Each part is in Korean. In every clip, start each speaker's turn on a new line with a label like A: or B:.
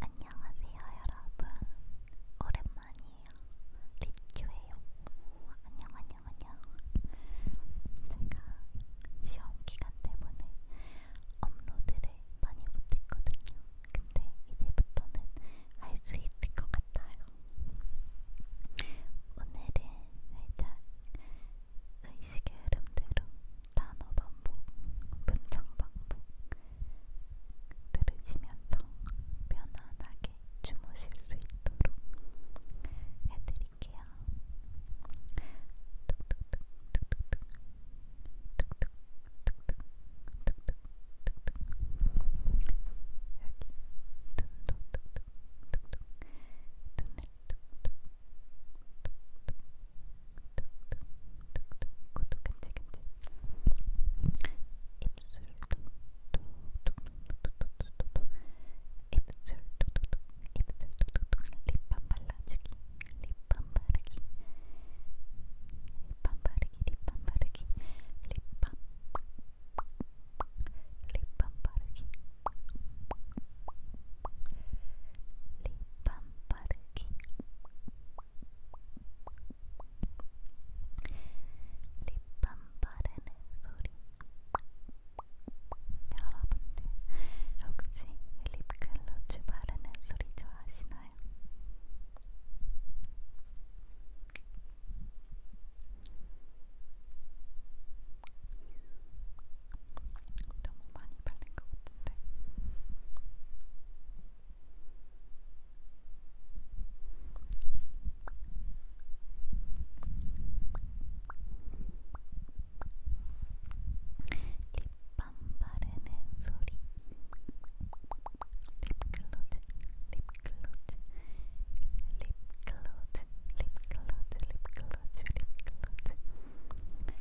A: 안녕하세요 여러분 오랜만이에요 리큐예요 안녕 안녕 안녕 제가 시험 기간 때문에 업로드를 많이 못했거든요 근데 이제부터는 할 수 있을 것 같아요 오늘은 살짝 의식의 흐름대로 단어 반복, 문장 반복 들으시면서 편안하게 주무실 수 있도록 해드릴게요. 툭툭툭 툭툭툭 툭툭툭툭 툭툭툭툭 여기 눈도 툭툭툭툭 눈을 툭툭툭툭 툭툭툭툭 구독 간질간질 입술 톡톡톡톡톡톡톡 입술 톡톡톡 입술 톡톡톡 립밤 발라주기 립밤 바르기 립밤 바르기 립밤 바르기 립밤 립밤 바르기 립밤 밤빠르기 립밤 바르는 소리 여러분들 혹시 립글로즈 바르는 소리 좋아하시나요? 너무 많이 바른 것 같은데. 립밤 바르는 소리. 립클로즈, 립클로즈, 립클로즈, 립클로즈, 립클로즈, 립클로즈.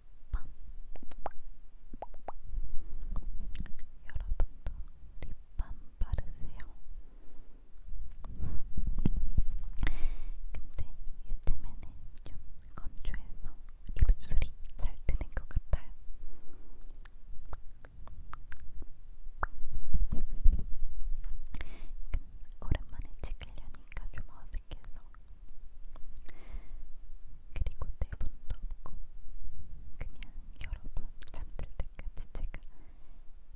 A: 립밤 여러분도 립밤 바르세요. 근데 요즘에는 좀 건조해서 입술이 잘 뜨는 것 같아요. 오랜만에 찍으려니까 좀 검색해서 그리고 대본도 네 없고 그냥 여러 번 잠들 때까지 제가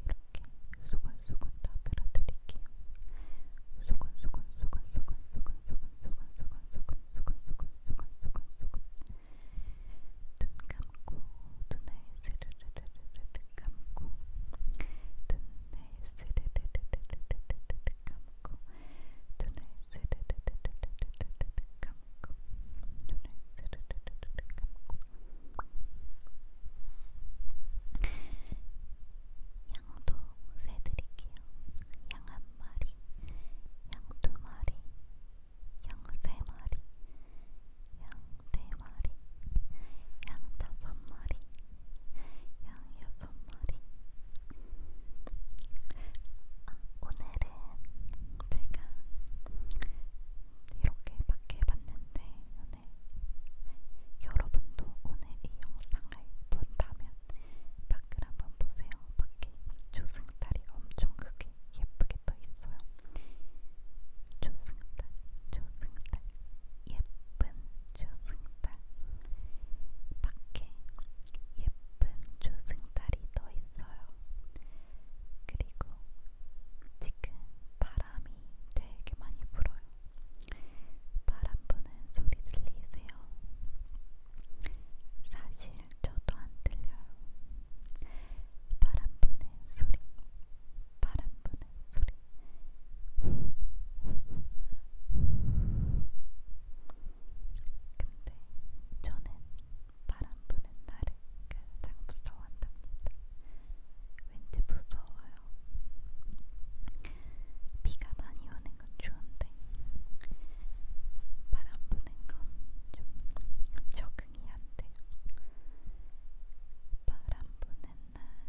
A: 이렇게 수근수근 떠들어 드릴게요. 수근수근 수근수근 수근수근 수근수근 수근수근 수근수근 수근수근 수근 눈 감고 눈을 스르르르르르 감고 눈을 스르르르르르르 감고 감고 눈을 스르르르르르르 감고 눈을 스르르르르 감고 양도 세드릴게요. 양 한 마리, 양 두 마리, 양 세 마리, 양 네 마리, 양 다섯 마리, 양옆 앞머리 아, 오늘은 제가 이렇게 밖에 봤는데 오늘 여러분도 오늘 이 영상을 본다면 밖을 한번 보세요. 밖에 조승달이 엄청 크게 예쁘게 떠 있어요. 조승달, 조승달, 예쁜 조승달 밖에 예쁜 조승달이 떠 있어요. 그리고 지금 바람이 되게 많이 불어요. 바람 부는 소리 들리세요? 사실 저도 안 들려요. 바람 부는 소리, 바람 부는 소리. 근데 저는 바람 부는 날을 가장 무서워한답니다. 왠지 무서워요. 비가 많이 오는 건 좋은데 바람 부는 건 좀 적응이 안 돼요. 바람 부는 날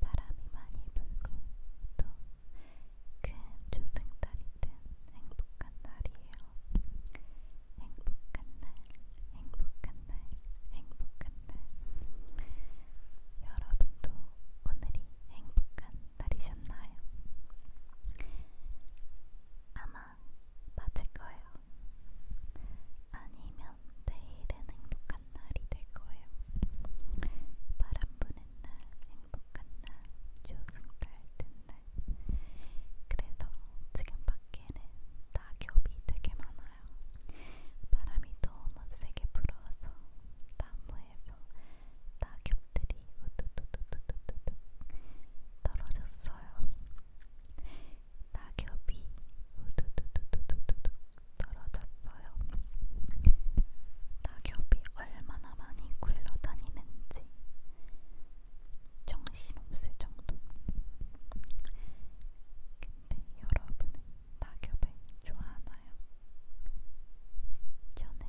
A: 바람이 많이 불고 또큰 조등달이 뜬 행복한 날이에요. 행복한 날, 행복한 날, 행복한 날. 여러분도 오늘이 행복한 날이셨나요? 아마 맞을 거예요. 아니면 내일은 행복한 날이 될 거예요. 바람 부는 날, 행복한 날, 조금 밝은 날. 그래서 지금 밖에는 낙엽이 되게 많아요. 바람이 너무 세게 불어서 나무에서 낙엽들이 우두두두두두두 떨어졌어요. 낙엽이 우두두두두두두 떨어졌어요. 낙엽이 얼마나 많이 굴러다니는지 정신없을 정도. 근데 여러분은 낙엽을 좋아하나요? 저는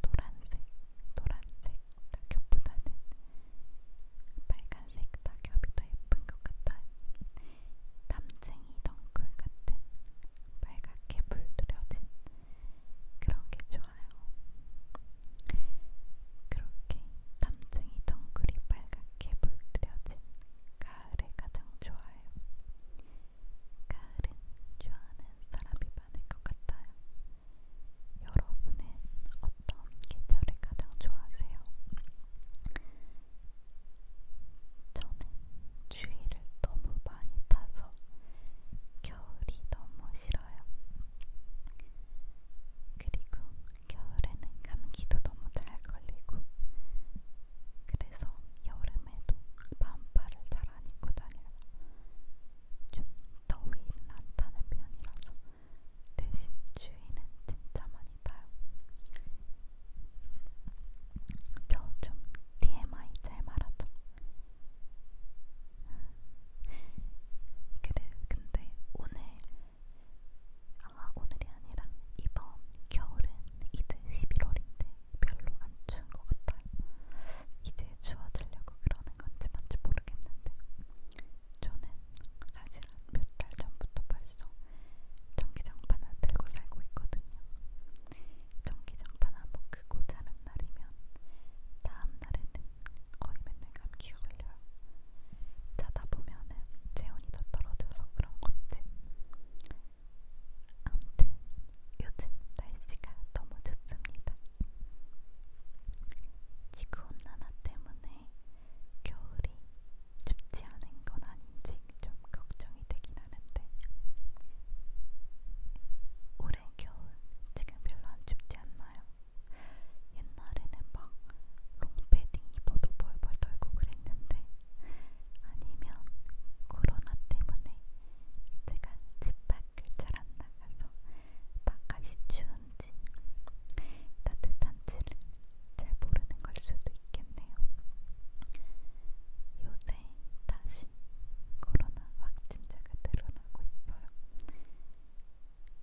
A: 노란색, 노란색 낙엽보다는 빨간색 낙엽이 더 예쁜 것 같아요. 남쟁이 덩굴 같은 빨갛게 물들여진 그런 게 좋아요. 그렇게 남쟁이 덩굴이 빨갛게 물들여진 가을에 가장 좋아요. 가을은 좋아하는 사람이 많을 것 같아요. 여러분은 어떤 계절을 가장 좋아하세요? 저는 추위를 너무 많이 타서 겨울이 너무 싫어요. 그리고 겨울에는 감기도 너무 잘 걸리고 그래서 여름에도 반팔을 잘 안 입고 다녀요. 좀 더위는 안 타는 편이라서 대신 추위는 진짜 많이 타요. 저좀 TMI 잘 말하죠. 그래, 근데 오늘, 아, 오늘이 아니라 이번 겨울은 이제 11월인데 별로 안 추운 것 같아요. 이제 추워지려고 그러는 건지 뭔지 모르겠는데 저는 사실 몇 달 전부터 벌써 전기장판 을 들고 살고 있거든요. 전기장판 한번 끄고 자는 날이면 다음 날에는 거의 맨날 감기가 걸려요. 자다 보면은 체온이 더 떨어져서 그런 건지. 아무튼 요즘 날씨가 너무 좋습니다. 지구온 난화 때문에 겨울이 춥지 않은 건 아닌지 좀 걱정이 되긴 하는데 올해 겨울 지금 별로 안 춥지 않나요? 옛날에는 막 롱패딩 입어도 벌벌 떨고 그랬는데 아니면 코로나 때문에 제가 집 밖을 잘 안 나가서 바깥이 추운지 따뜻한지를 잘 모르는 걸 수도 있겠네요. 요새 다시 코로나 확진자가 늘어나고 있어요.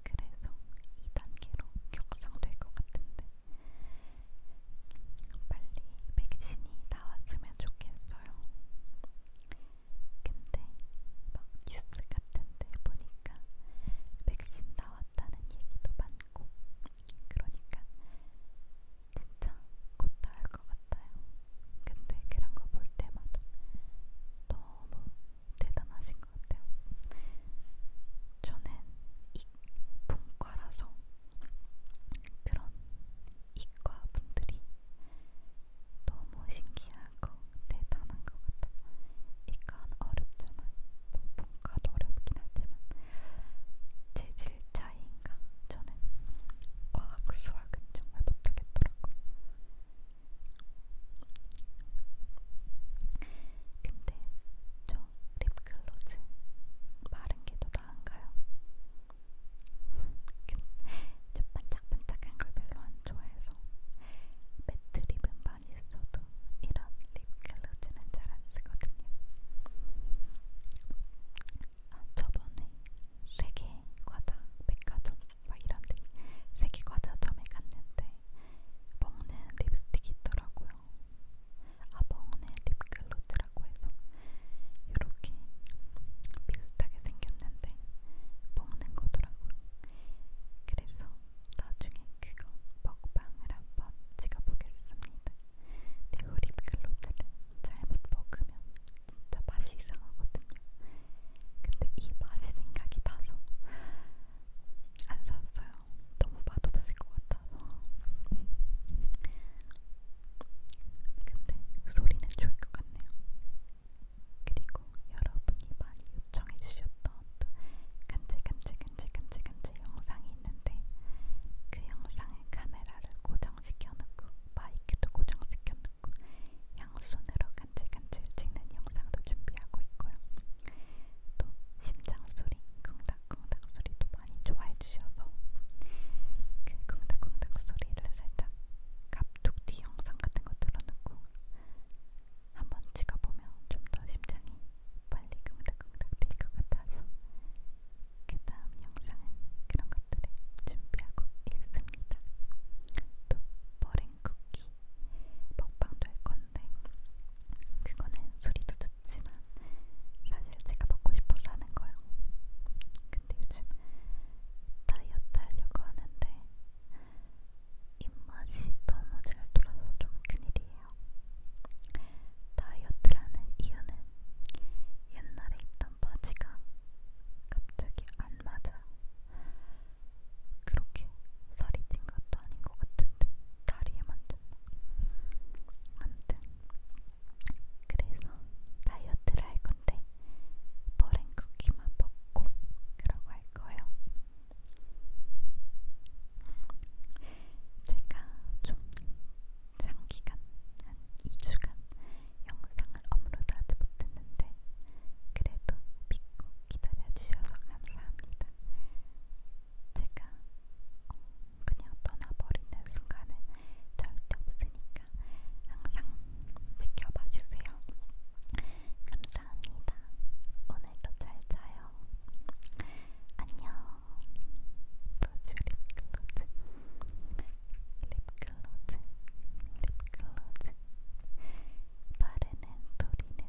A: 그래서 2단계로 격상될 것 같은데 빨리 백신이 나왔으면 좋겠어요. 근데 막 뉴스 같은데 보니까 백신 나왔다는 얘기도 많고 그러니까 진짜 곧 나을 것 같아요. 근데 그런 거 볼 때마다 너무 대단하신 것 같아요. 저는 이분과라서 그런 이과 분들이 너무 신기하고 대단한 것 같아. 이건 어렵잖아. 뭐 분과도 어렵긴 하지만 재질 차이인가? 저는 과학 수학은 정말 못하겠더라고. 근데 저 립글로즈 마른 게 더 나은가요? 좀 반짝반짝한 걸 별로 안 좋아해서 매트립은 많이 써도 이런 립글로즈는 잘안 쓰거든요. 아, 저번에 세계과자 백화점 막 이런데 세계과자점에 갔는데 먹는 립스틱이 있더라고요. 아 먹는 립글로 셔츠라고 해서 이렇게 비슷하게 생겼는데 먹는 거더라고요. 그래서 나중에 그거 먹방을 한번 찍어보겠습니다. 네오 립글로즈를 잘못 먹으면 진짜 맛이 이상하거든요. 근데 이 맛이 생각이 나서 안 샀어요. 너무 맛없을 것 같아서 근데 소리는 좋을 것 같네요. 그리고 여러분이 많이 요청해 주셨던 또 간질간질간질간질간질 영상이 있는데 그 영상에 카메라를 고정시켜 놓고 마이크도 고정시켜 놓고 양손으로 간질간질 찍는 영상도 준비하고 있고요. 또 심장 소리, 쿵닥쿵닥 소리도 많이 좋아해 주셔서 그 쿵닥쿵닥 소리를 살짝 갑툭 뒤 영상 같은 거 틀어놓고 한번 찍어보면 좀 더 심장이 빨리 쿵닥쿵닥 될것 같아서 그 다음 영상은 그런 것들을 준비하고 있습니다. 또 버랭 쿠키 먹방도 할 건데 그거는 소리도 듣 좋지만 사실 제가 먹고 싶어서 하는 거예요. 근데 요즘 다이어트 하려고 하는데 입맛이 너무 잘 돌아서 좀 큰일이에요. 다이어트라는 이유는 옛날에 입던 바지가 갑자기 안 맞아요. 그렇게 살이 찐 것도 아닌 것 같은데 다리에 만졌나? 아무튼 그래서 다이어트를 할 건데 머랭 쿠키만 먹고 그러고 할 거예요. 제가 좀 장기간 한 2주간 영상을 업로드하지 못했는데 그래도 믿고 기다려주셔서 감사합니다. 제가 어, 그냥 떠나버리는 순간은 절대 없으니까 항상 지켜봐 주세요. 감사합니다. 오늘도 잘 자요. 안녕. 로즈 립글로즈. 립글로즈. 립글로즈. 바르는 소리는.